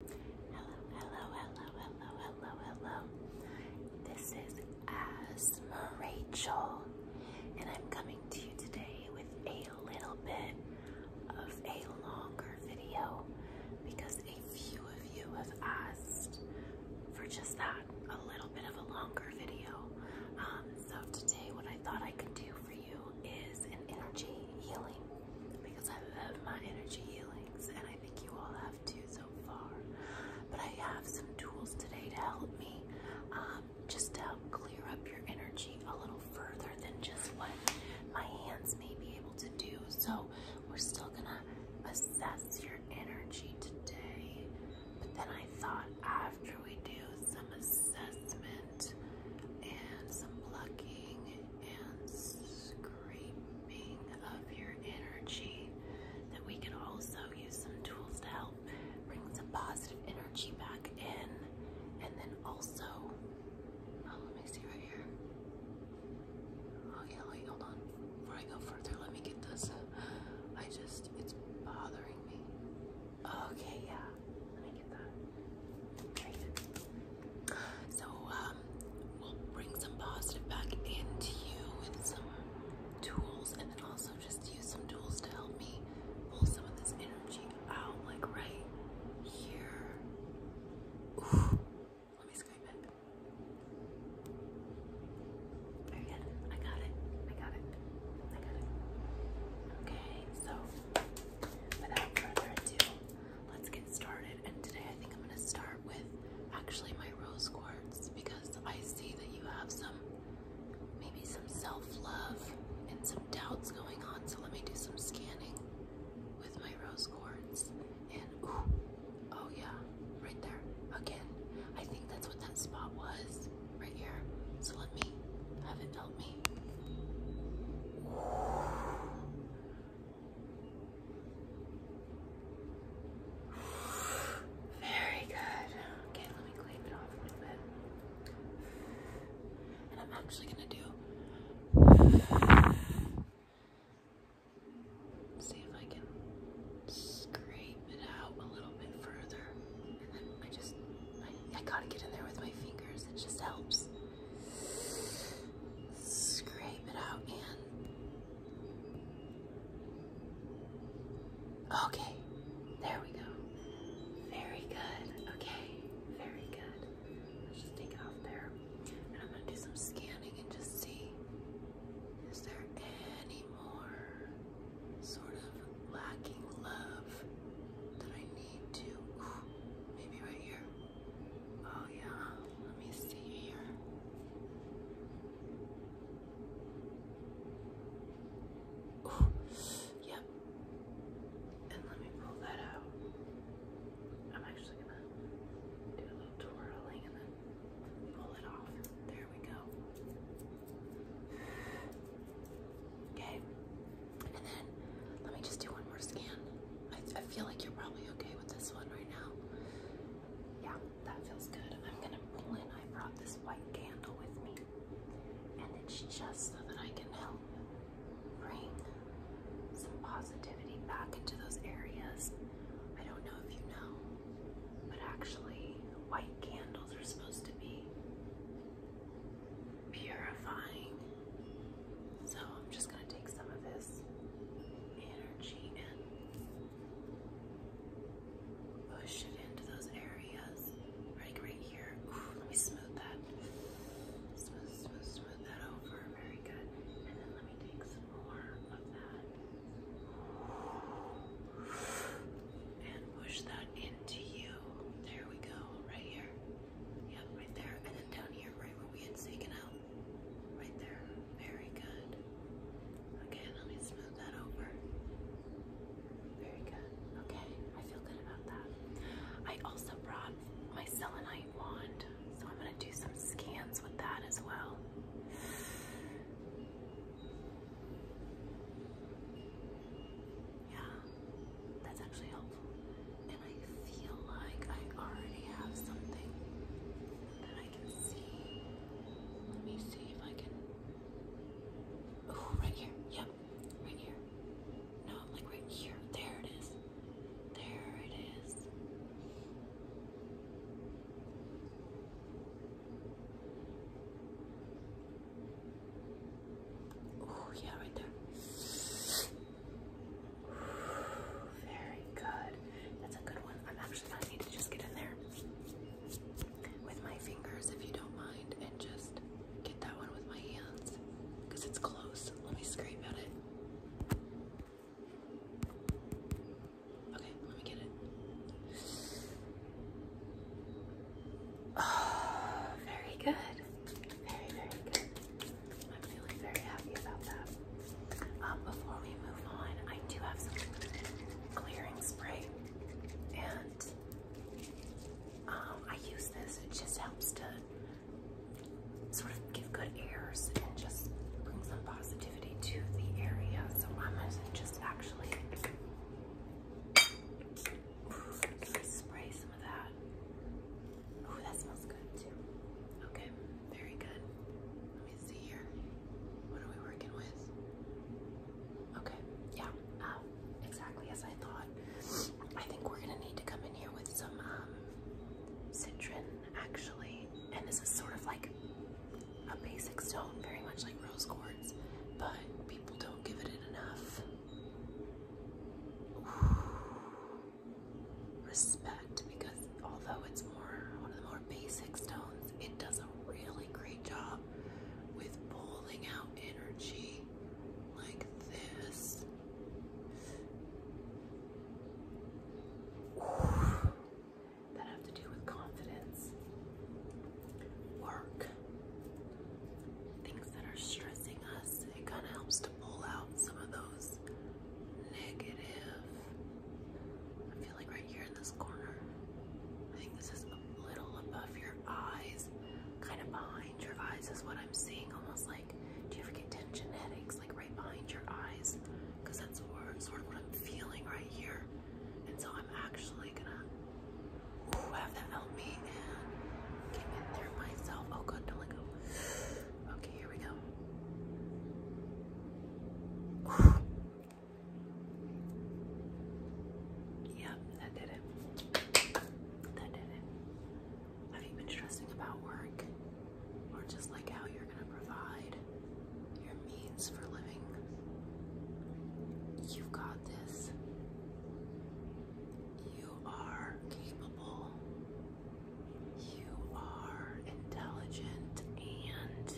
Hello, hello, hello, hello, hello, hello. This is Asma Rachel, and I'm coming to you today with a little bit of a longer video because a few of you have asked for just that, a little bit of a longer video. Um, so today what I thought I could do for you is an energy healing because I love my energy healings and I think you all have too so far. But I have some tools today to help me um, just to help clear up your energy a little further than just what my hands may be able to do. So we're still gonna assess your energy today. But then I thought after we do some assessment and some plucking and screaming of your energy that we can also use some tools to help bring some positive energy back in and then also oh let me see right here okay oh, wait hold on before I go further let me get this I just it's bothering me okay yeah let me get that so um, we'll bring some positive back into you with some tools, and then also just use some tools to help me pull some of this energy out, like right here. Let me scrape it. Very good. I got it. I got it. I got it. Okay, so without further ado, let's get started. And today I think I'm going to start with actually my rose quartz because I see that you have some, maybe some self-love and some doubts going on. So let me do some scanning with my rose quartz. And oh yeah, right there. Again, I think that's what that spot was right here. So let me have it help me very good. Okay, let me clean it off a little bit. And I'm actually gonna do see if I can scrape it out a little bit further. And then I just I gotta get in there with my fingers, it just helps. Scrape it out and okay, there we go. Very good. Okay, very good. Let's just take it off there. And I'm gonna do some scanning and just see is there any more sort of lacking love that I need to Maybe right here. Oh yeah, let me see here. yep. And let me pull that out. I'm actually gonna do a little twirling and then pull it off. There we go. Okay. And then let me just do one more scan. I, feel like you're probably okay with this one right now. Yeah, that feels good. I'm gonna pull in. I brought this white candle with me, and it's just so that I can help bring some positivity back into those areas. I don't know if you know, but actually, white candles are supposed to be purifying. So I'm just going to take some of this energy and push it into those areas. Right, right here. let me smooth that. Smooth, smooth, smooth that over. Very good. And then let me take some more of that and push that into you. There we go, right here. Yep, right there. And then down here, right where we had taken out. Right there. Very good. Okay, let me smooth that over. Very good. Okay, I feel good about that. I also brought my selenite wand, so I'm going to do some scans with that as well. Yeah, that's actually helpful. And I feel like I already have something that I can see. Let me see if I can. Oh, right here. Yep, right here. No, like right here. There it is. There it is. Oh, yeah, right there. Very good. That's a good one. I'm actually going to need to just get in there with my fingers, if you don't mind, and just get that one with my hands because it's close. Let me scrape at it. Okay, let me get it. Oh, very good. Very, very good. I'm feeling very happy about that. Um, before we move on, I do have some clearing spray, and um, I use this. It just helps to sort of give good airs and just bring some positivity to the area. So I'm gonna just actually I spray some of that. Oh, that smells good too. Okay, very good. Let me see here. What are we working with? Okay, yeah, um, exactly as I thought. I think we're gonna need to come in here with some um, citron actually, and this is sort of like a basic stone, very much like rose quartz, but people don't give it enough respect because although it's more one of the more basic stones, it does a really great job with pulling out energy like this that have to do with confidence, work, things that are stressing us. It kind of helps to pull out some of those negative. I feel like right here in this corner, I think this is a little above your eyes, kind of behind your eyes is what I'm seeing. Almost like, do you ever get tension headaches like right behind your eyes? Because that's sort of what I'm feeling right here. And so I'm actually gonna oh, Okay, here we go. Ooh. that did it. That did it. Have you been stressing about work? Or just like how you're gonna provide? your means for living. You've got this. You are capable. You are intelligent and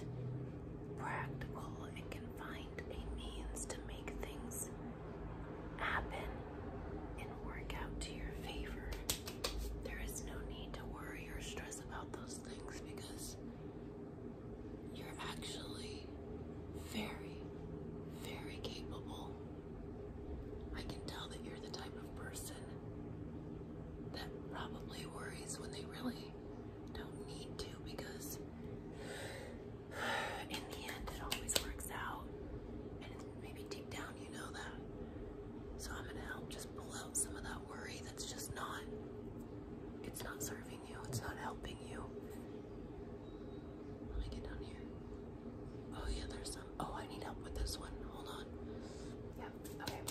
practical and can find a means to make things happen and work out to your favor. There is no need to worry or stress about those things because you're actually very, very capable. I can tell that you're the type of person that probably worries when they really don't need to because in the end it always works out. And maybe deep down you know that. So I'm going to help just pull out some of that worry it's just not it's not serving you, it's not helping you. Let me get down here. Oh yeah, there's some oh I need help with this one. Hold on. Yeah, okay.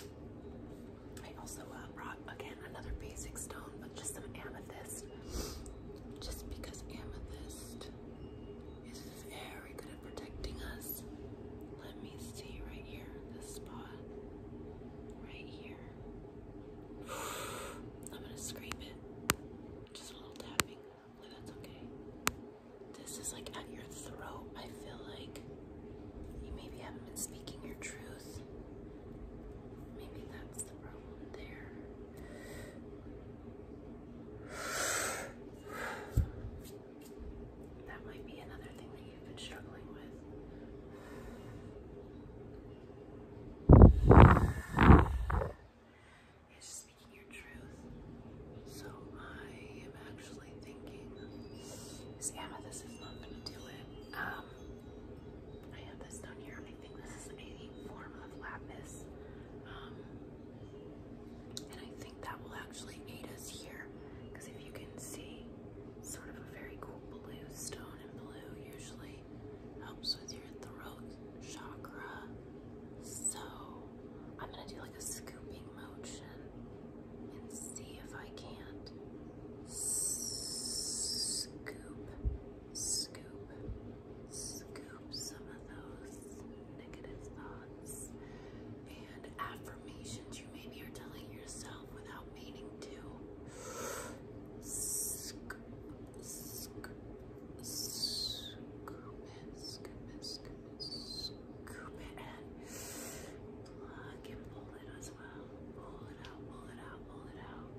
I also uh, brought again another basic stone, but just some amethyst. Just because amethyst is very good at protecting us. Let me see right here, this spot. Right here. I'm gonna scrape it. Just a little tapping. Hopefully that's okay. This is like at your throat. I feel like you maybe haven't been speaking your truth. Maybe that's the problem there. That might be another thing you've been struggling with. It's speaking your truth. So I am actually thinking this amethyst is not going to do it. Um, I have this down here. I think this is a form of lapis. Um, and I think that will actually aid us here because if you can see, sort of a very cool blue stone, and blue usually helps with your throat chakra. So I'm gonna do like a scooping motion and see if I can't scoop, scoop, scoop some of those negative thoughts affirmations you maybe are telling yourself without meaning to. Scoop, scoop, scoop it, scoop it, scoop it, scoop it, and plug and pull it as well. Pull it out, pull it out, pull it out.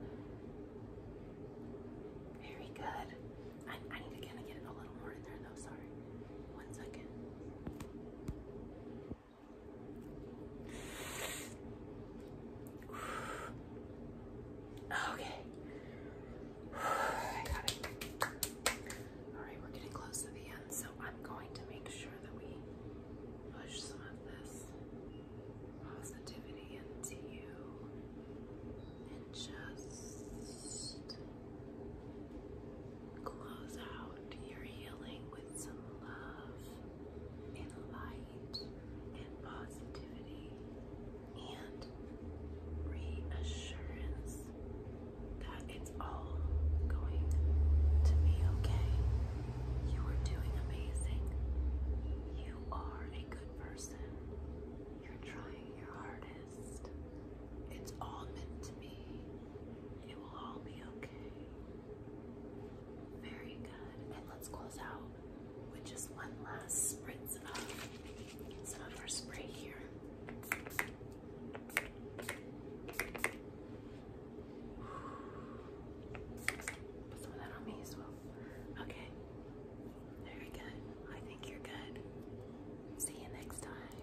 Very good. I, I need to kind of get it a little more in there though, sorry. One second. Okay. got it. Alright, we're getting close to the end, so I'm going to make sure that we push some of this positivity into you and just Close out your healing with some love and light and positivity and reassurance that it's all going to be okay. You are doing amazing. You are a good person. You're trying your hardest. It's all meant to be. It will all be okay. Very good. And let's close out with just one last spritz of some of our spray here. Put some of that on me as well. Okay. Very good. I think you're good. See you next time.